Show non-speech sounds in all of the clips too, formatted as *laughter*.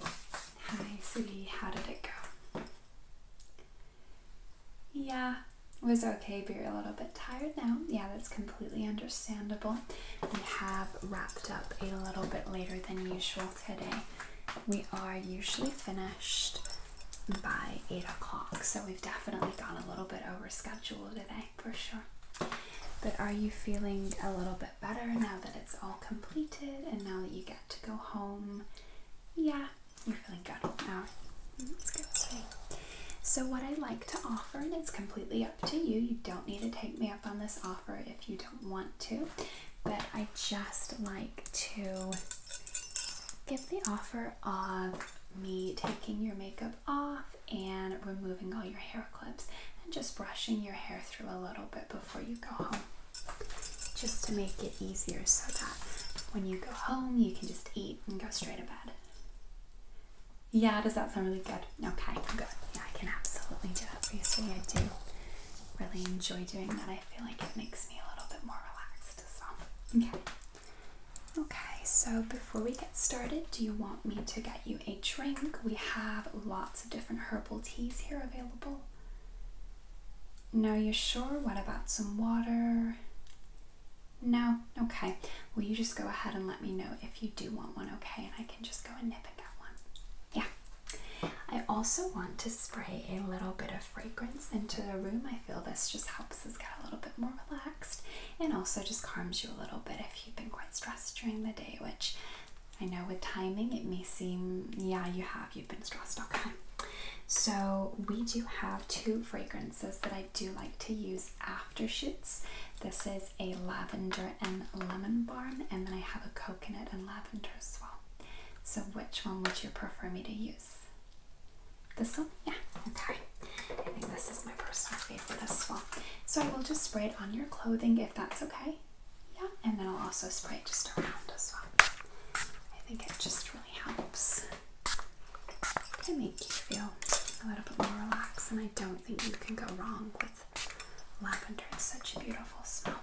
Hi, sweetie. How did it go? Yeah, it was okay, but you're a little bit tired now. Yeah, that's completely understandable. We have wrapped up a little bit later than usual today. We are usually finished by 8 o'clock, so we've definitely gone a little bit over schedule today for sure. But are you feeling a little bit better now that it's all completed and now that you get to go home. Yeah, you're feeling good now. Let's go So, what I like to offer, and it's completely up to you, you don't need to take me up on this offer if you don't want to, but I just like to give the offer of me taking your makeup off and removing all your hair clips and just brushing your hair through a little bit before you go home just to make it easier so that when you go home you can just eat and go straight to bed. Yeah, does that sound really good? Okay, good. Yeah, I can absolutely do that for you. So I do really enjoy doing that. I feel like it makes me a little bit more relaxed. okay. Okay, so before we get started, do you want me to get you a drink. We have lots of different herbal teas here available. No, you're sure? What about some water? No? Okay. Will you just go ahead and let me know if you do want one, okay? And I can just go and nip and get one. Yeah. I also want to spray a little bit of fragrance into the room. I feel this just helps us get a little bit more relaxed and also just calms you a little bit if you've been quite stressed during the day, which I know with timing it may seem, yeah, you have, you've been stressed. Okay. So, we do have two fragrances that I do like to use aftershoots. This is a lavender and lemon balm, and then I have a coconut and lavender as well. So, which one would you prefer me to use? This one? Yeah, okay. I think this is my personal favorite as well. So, I will just spray it on your clothing if that's okay. Yeah, and then I'll also spray it just around as well. I think it just really helps to make you feel a little bit more relaxed, and I don't think you can go wrong with lavender. It's such a beautiful smell.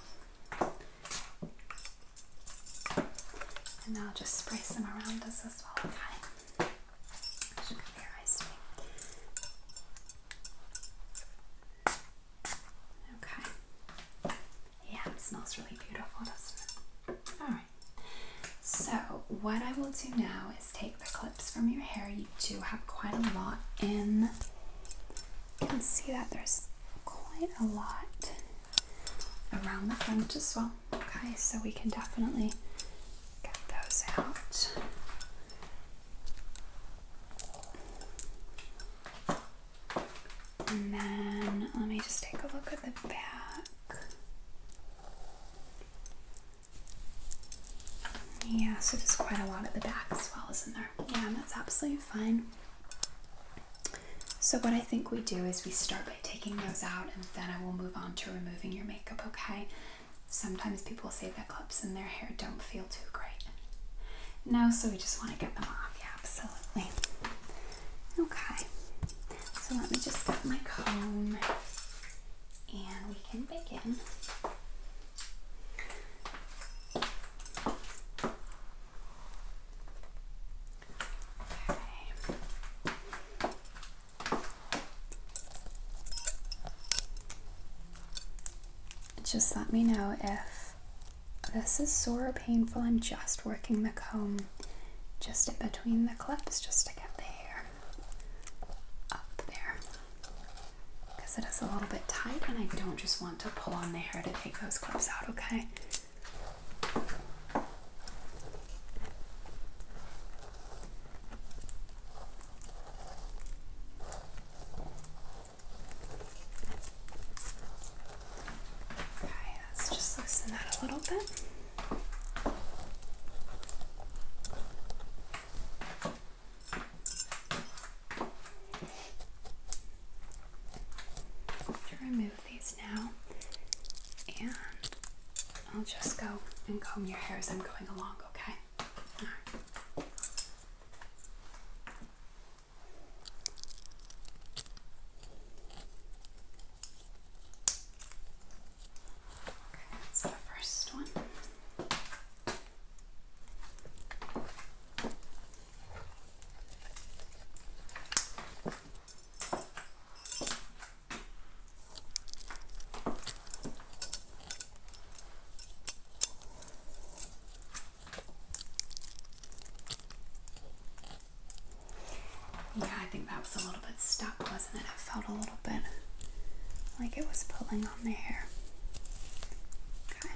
And I'll just spray some around us as well, okay? Should cover your Okay. Yeah, it smells really beautiful, doesn't it? Alright. So, what I will do now is take the clips from your hair. You do have quite a lot in. You can see that there's quite a lot around the front as well. Okay, so we can definitely get those out. And then let me just take a look at the back. Yeah, so there's quite a lot at the back as well, isn't there? Yeah, that's absolutely fine. So what I think we do is we start by taking those out and then I will move on to removing your makeup, okay? Sometimes people say their clips in their hair don't feel too great now, so we just want to get them off. Yeah, absolutely. Okay, so let me just get my comb and we can begin just let me know if this is sore or painful. I'm just working the comb just in between the clips just to get the hair up there because it is a little bit tight and I don't just want to pull on the hair to take those clips out, okay? Okay, let's just loosen that a little bit. To remove these now, and I'll just go and comb your hair as I'm going along, okay? No. Okay, that's the first one. Okay, yeah, I think that was a little bit stuck, wasn't it? It felt a little bit like it was pulling on the hair. Okay.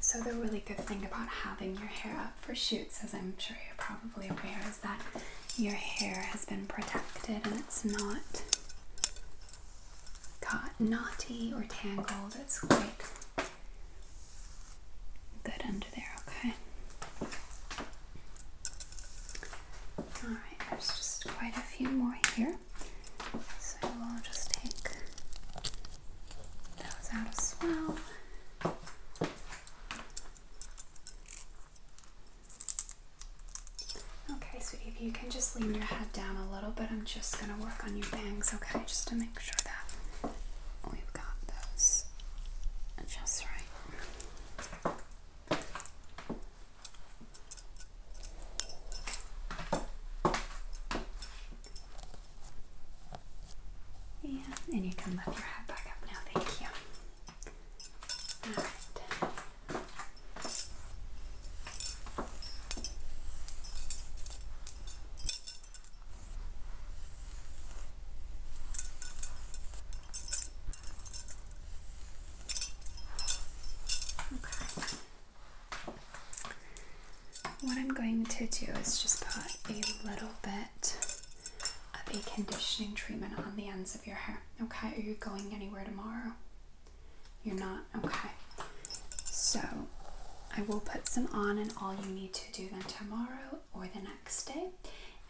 So the really good thing about having your hair up for shoots, as I'm sure you're probably aware, is that your hair has been protected and it's not got knotty or tangled, That's quite good under there, okay? Alright, there's just quite a few more here. So we'll just take those out as well. Okay, sweetie, if you can just lean your head down a little bit, I'm just gonna work on your bangs, okay? Just to make sure that we've got those just right. Yeah, and you can lift your head back up now, thank you. Alright. Okay. What I'm going to do is just put a little bit of a conditioning treatment on the ends of your hair. Okay, are you going anywhere tomorrow? You're not? Okay. So I will put some on, and all you need to do then tomorrow or the next day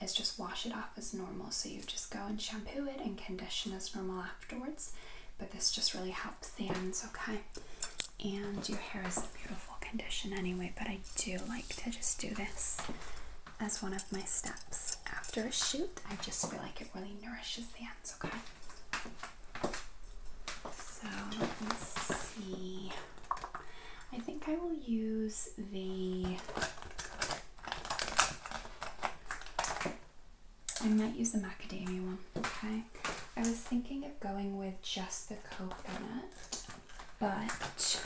is just wash it off as normal. So you just go and shampoo it and condition as normal afterwards. But this just really helps the ends, okay? And your hair is in beautiful condition anyway, but I do like to just do this as one of my steps after a shoot. I just feel like it really nourishes the ends, okay? So let me see. I think I will use the. I might use the macadamia one, okay? I was thinking of going with just the coconut, but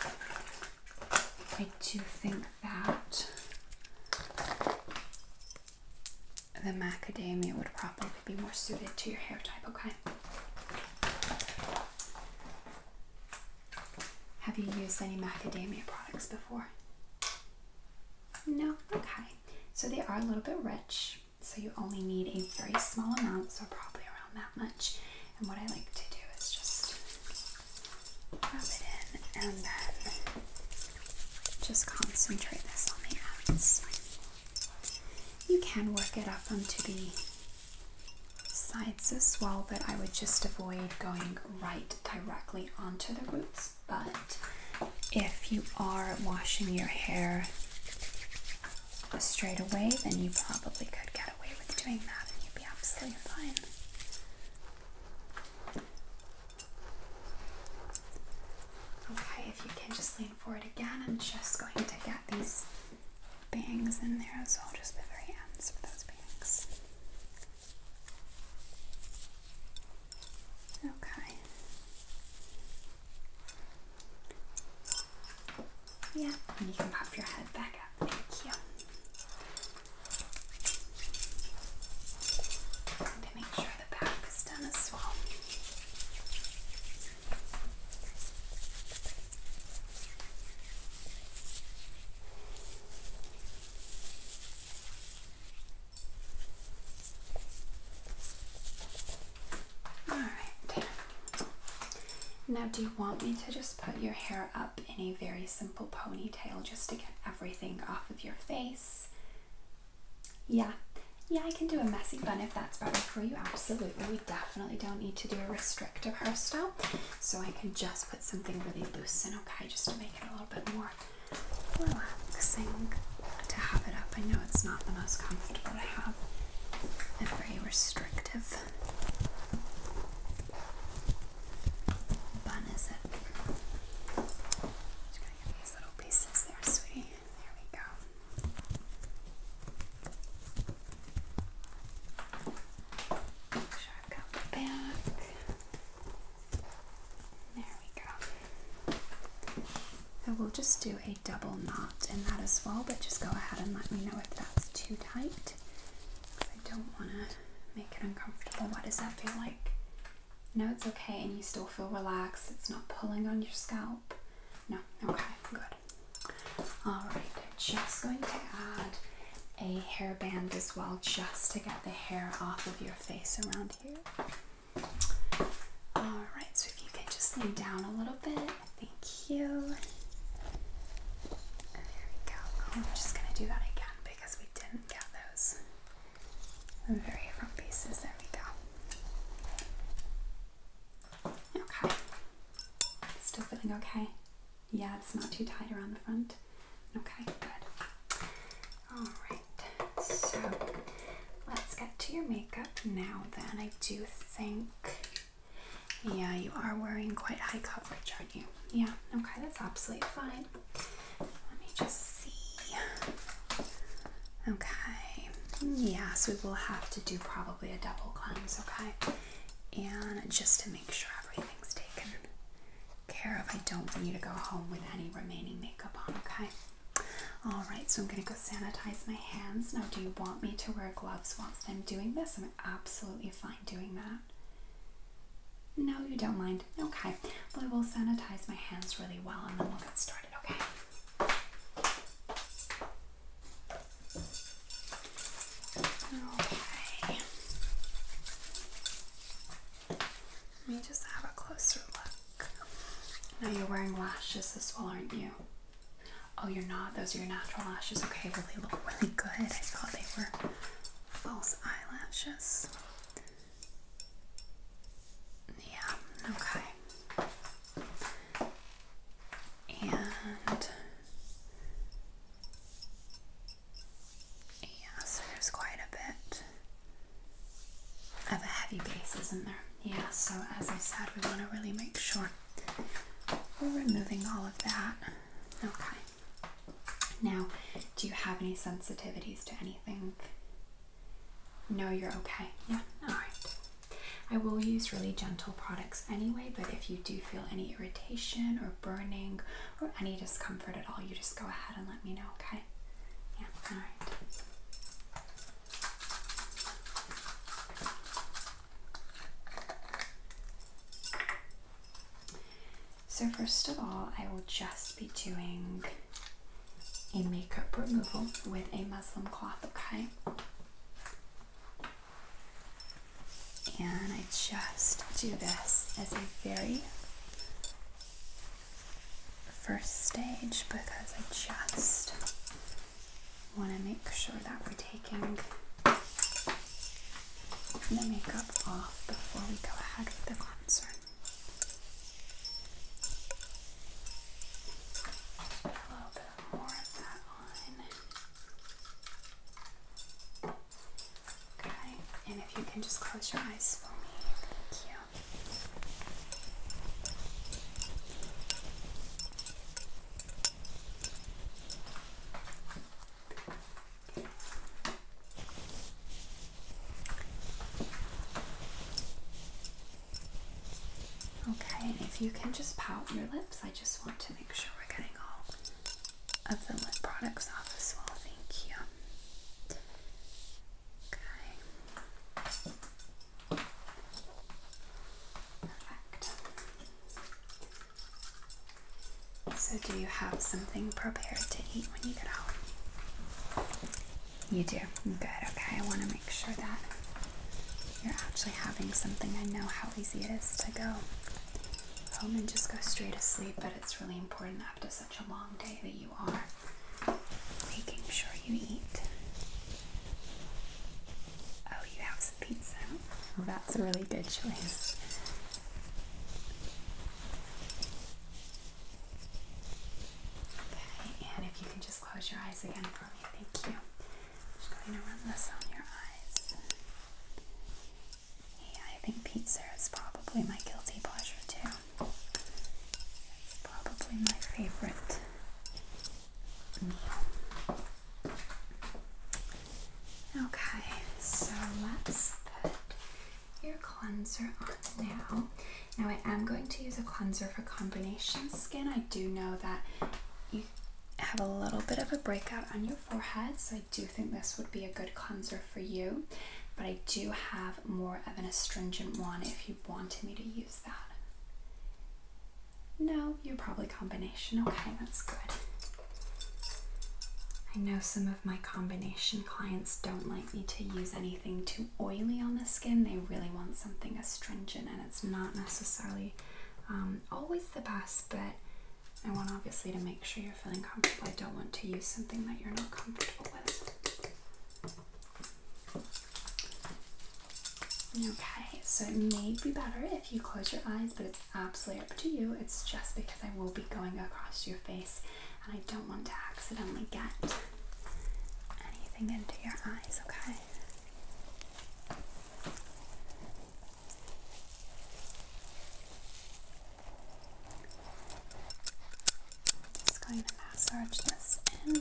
I do think that the macadamia would probably be more suited to your hair type, okay? Have you used any macadamia products before? No? Okay. So they are a little bit rich, so you only need a very small amount, so probably around that much. And what I like to do is just just concentrate this on the ends. You can work it up onto the sides as well, but I would just avoid going right directly onto the roots. But if you are washing your hair straight away, then you probably could get away with doing that and you'd be absolutely fine. Okay, if you can just lean forward again, I'm just going to get these bangs in there as well, just the very ends of those bangs. Okay. Yeah, and you can pop your head back up. Thank you to make sure the back is done as well. All right. Now, do you want me to just put your hair up in a very simple ponytail just to get everything off of your face. Yeah, yeah, I can do a messy bun if that's better for you. Absolutely, we definitely don't need to do a restrictive hairstyle, so I can just put something really loose in, okay, just to make it a little bit more relaxing to have it up. I know it's not the most comfortable to have a very restrictive bun is it? Just gonna get these little pieces there, sweetie. There we go. back. There we go. I will just do a double knot in that as well, but just go ahead and let me know if that's too tight. I don't want to make it uncomfortable. What does that feel like? No, it's okay, and you still feel relaxed. It's not pulling on your scalp. No, okay, good. All right, just going to add a hairband as well, just to get the hair off of your face around here. All right, so if you can just lean down a little bit, thank you. There we go. Oh, I'm just gonna do that again because we we didn't get those very front pieces. There we go. Okay. Still feeling okay? Yeah, it's not too tight around the front. Okay, good. Alright, so let's get to your makeup now then. I do think, yeah, you are wearing quite high coverage, are you? Yeah, okay, that's absolutely fine. Let me just see. Okay, yes, we will have to do probably a double cleanse, okay? And just to make sure everything's taken care of, I don't want you to go home with any remaining makeup on, okay? Alright, so I'm going to go sanitize my hands. Now, do you want me to wear gloves whilst I'm doing this? absolutely fine doing that. No, you don't mind. Okay. Well, I will sanitize my hands really well and then we'll get started, okay? Okay. Let me just have a closer look. Now you're wearing lashes as well, aren't you? Oh, you're not. Those are your natural lashes. Okay, well, they look really good. I thought they were false eyelashes. Yeah, okay. And yeah, so there's quite a bit of a heavy base, isn't there? Yeah, so as I said, we want to really make sure we're removing all of that. Okay. Now, do you have any sensitivities to anything? No, you're okay. Yeah, alright. I will use really gentle products anyway, but if you do feel any irritation or burning or any discomfort at all, you just go ahead and let me know, okay? Yeah, alright. So, first of all, I will just be doing a makeup removal with a muslin cloth, okay? And I just do this as a very first stage because I just want to make sure that we're taking the makeup off before we go ahead with the cleanser. Okay, and if you can just close your eyes for me, thank you. Okay, if you can just pout your lips, I just want to make sure we're getting all of the lip products off as well. Thank you. Perfect. So, do you have something prepared to eat when you get home? You do. Good. Okay. I want to make sure that you're actually having something. I know how easy it is to go home and just go straight to sleep, but it's really important after such a long day that you are making sure you eat. Oh, you have some pizza. that's a really good choice. Okay, and if you can just close your eyes again for me, thank you. just going to run this on your eyes. Yeah, I think pizza is probably my guilty pleasure too. It's probably my favorite Okay, so let's put your cleanser on now. Now I am going to use a cleanser for combination skin. I do know that you have a little bit of a breakout on your forehead, so I do think this would be a good cleanser for you. But I do have more of an astringent one if you wanted me to use that. No, you're probably combination. Okay, that's good. I know some of my combination clients don't like me to use anything too oily on the skin. They really want something astringent, and it's not necessarily um, always the best, but I want obviously to make sure you're feeling comfortable. I don't want to use something that you're not comfortable with. Okay, so it may be better if you close your eyes, but it's absolutely up to you. It's just because I will be going across your face and I don't want to accidentally get anything into your eyes, okay? Just going to massage this in.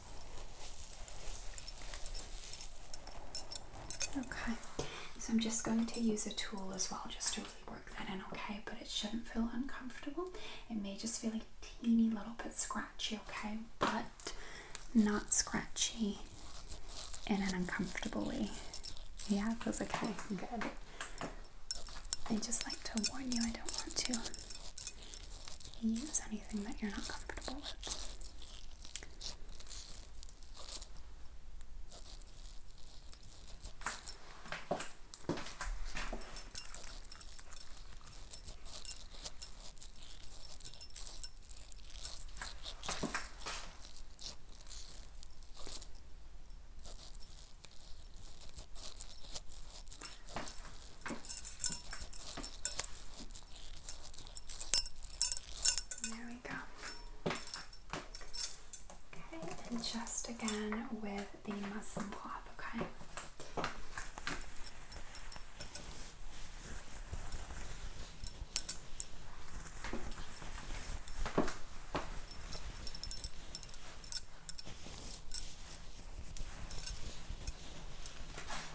Okay, so I'm just going to use a tool as well just to really work that in, okay? But it shouldn't feel uncomfortable. It may just feel a teeny little bit scratchy, okay? But not scratchy in an uncomfortable way. Yeah, it feels okay. Good. I just like to warn you, I don't want to use anything that you're not comfortable with. There we go. Okay, and just again with the muslin cloth, okay?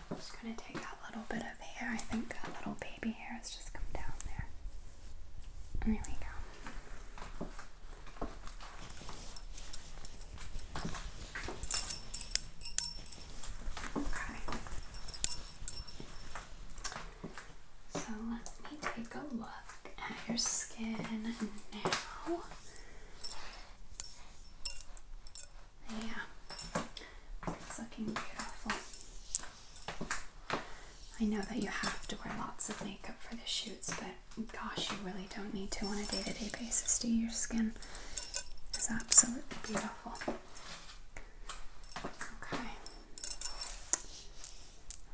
I'm just going to take that little bit of hair. I think that little baby hair has just come down there. There we go. Okay. So let me take a look at your skin now. Yeah, it's looking beautiful. I know that you have to wear lots of makeup for the shoots, but gosh, you really don't need to on a day to day basis, do Your skin is absolutely beautiful. Okay.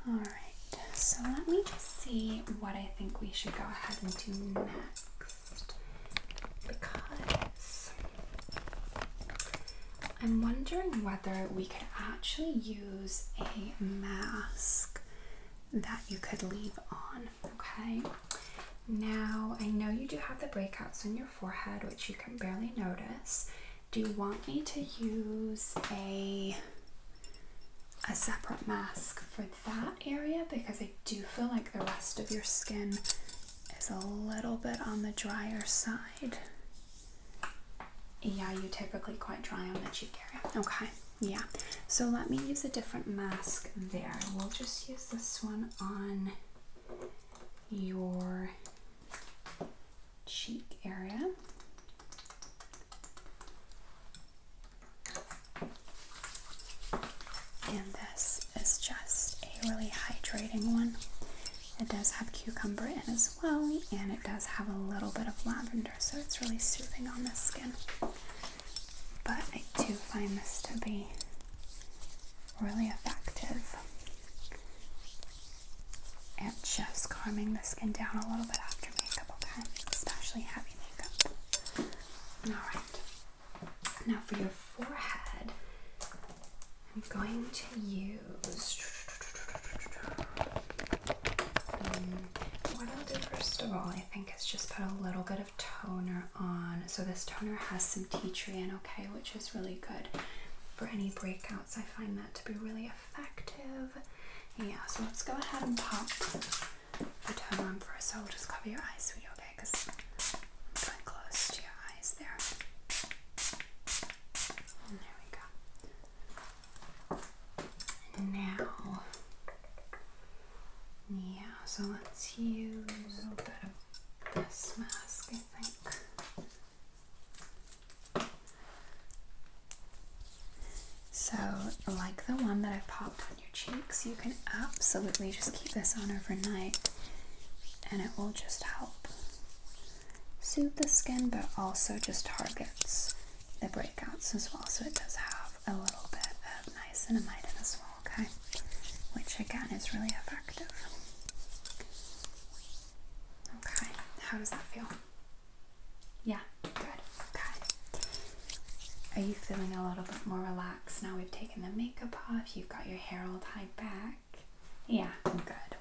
All right. So let me see what I think we should go ahead and do next because I'm wondering whether we could actually use a mask that you could leave on, okay? Now, I know you do have the breakouts on your forehead, which you can barely notice. Do you want me to use a a separate mask for that area because I do feel like the rest of your skin is a little bit on the drier side. Yeah, you typically quite dry on the cheek area. Okay, yeah. So let me use a different mask there. We'll just use this one on your cheek area. And this is just a really hydrating one. It does have cucumber in as well, and it does have a little bit of lavender, so it's really soothing on the skin. But I do find this to be really effective at just calming the skin down a little bit after makeup, okay? Especially having. Alright. Now for your forehead, I'm going to use. what I'll do first of all, I think, is just put a little bit of toner on. So this toner has some tea tree in, okay, which is really good for any breakouts. I find that to be really effective. Yeah, so let's go ahead and pop return one for us. So I'll just cover your eyes for you, okay? Because i going close to your eyes there. there we go. now, yeah, so let's use this mask, I think. So, like the one that I popped on your cheeks, you can absolutely just keep this on overnight and it will just help soothe the skin but also just targets the breakouts as well. So, it does have a little bit of niacinamide in as well, okay? Which again is really effective. Okay, how does that feel? Yeah, good, good. Are you feeling a little bit more relaxed now we've taken the makeup off? You've got your hair all tied back? Yeah, I'm good, i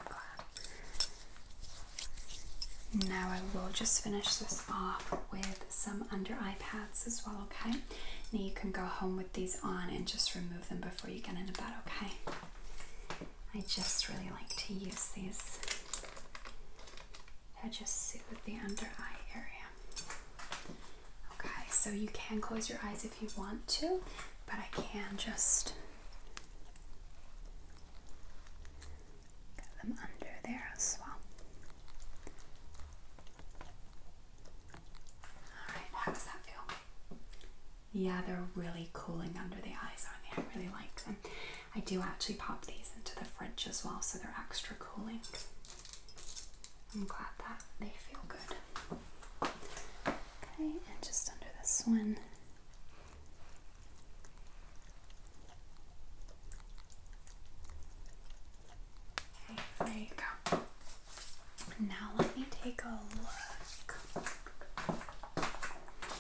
Now I will just finish this off with some under eye pads as well, okay? Now you can go home with these on and just remove them before you get into bed, okay? I just really like to use these. I just with the under eye area. Okay, so you can close your eyes if you want to, but I can just get them under there as well. Alright, how does that feel? Yeah, they're really cooling under the eyes, aren't they? I really like them. I do actually pop these into the fridge as well, so they're extra cooling. I'm glad that they feel good. Okay, and just under this one. Okay, there you go. Now let me take a look.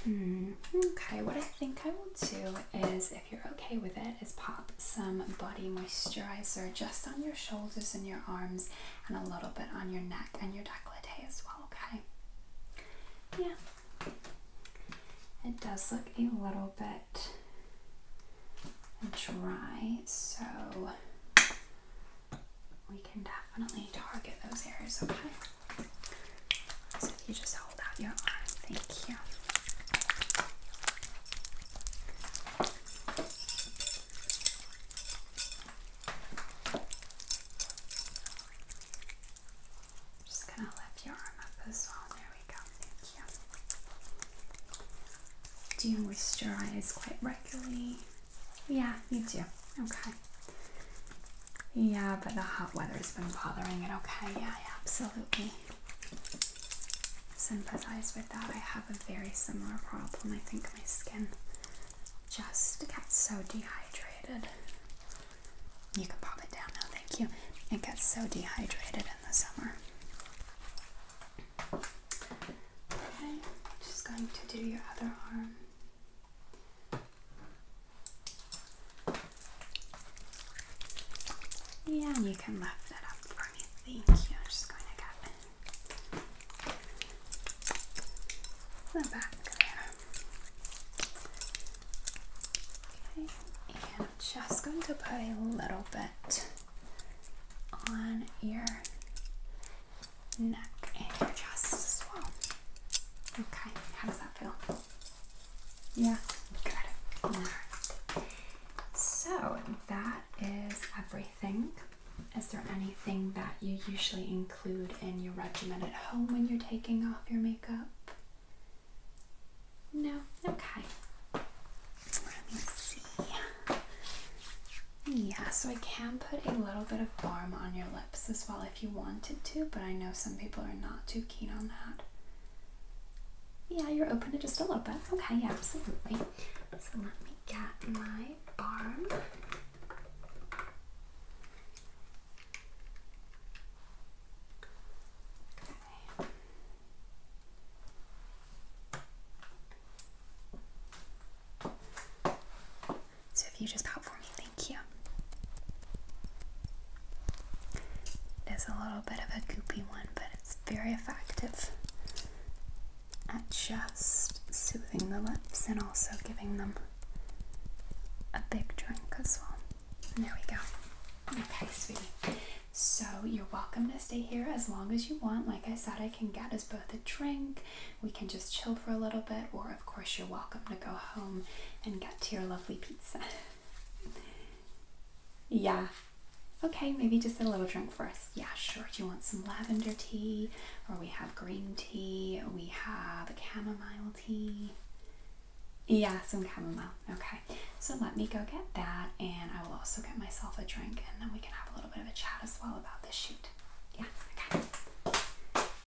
Hmm. Okay, what think I will do is, if you're okay with it, is pop some body moisturizer just on your shoulders and your arms and a little bit on your neck and your decollete as well, okay? Yeah. It does look a little bit dry, so we can definitely target those areas, okay? So you just hold out your arm, thank you. just gonna lift your arm up as well. There we go. Thank you. Do you moisturize quite regularly? Yeah, you do. Okay. Yeah, but the hot weather's been bothering it, okay? Yeah, I absolutely sympathize with that. I have a very similar problem. I think my skin just gets so dehydrated. You can pop it down now, thank you. It gets so dehydrated in the summer. Okay, just going to do your other arm. Yeah, and you can lift it up for me. Thank you. I'm just going to get back there. Okay, and I'm just going to put a little bit on your neck and your chest as well. Okay, how does that feel? Yeah, good. All right. So that is everything. Is there anything that you usually include in your regimen at home when you're taking off your makeup? No? Okay. Let me see. Yeah, so I can put a little bit of balm on your as well if you wanted to, but I know some people are not too keen on that. Yeah, you're open to just a little bit. Okay, yeah, absolutely. So let me get my barm. So if you just pop for me, thank you. It is a little bit of a goopy one, but it's very effective at just soothing the lips and also giving them a big drink as well. there we go. Okay, sweetie. So you're welcome to stay here as long as you want. Like I said, I can get us both a drink. We can just chill for a little bit or of course, you're welcome to go home and get to your lovely pizza. *laughs* yeah. Okay, maybe just a little drink for us. Yeah, sure. Do you want some lavender tea? Or we have green tea, we have chamomile tea. Yeah, some chamomile. Okay, so let me go get that, and I will also get myself a drink, and then we can have a little bit of a chat as well about this shoot. Yeah, okay.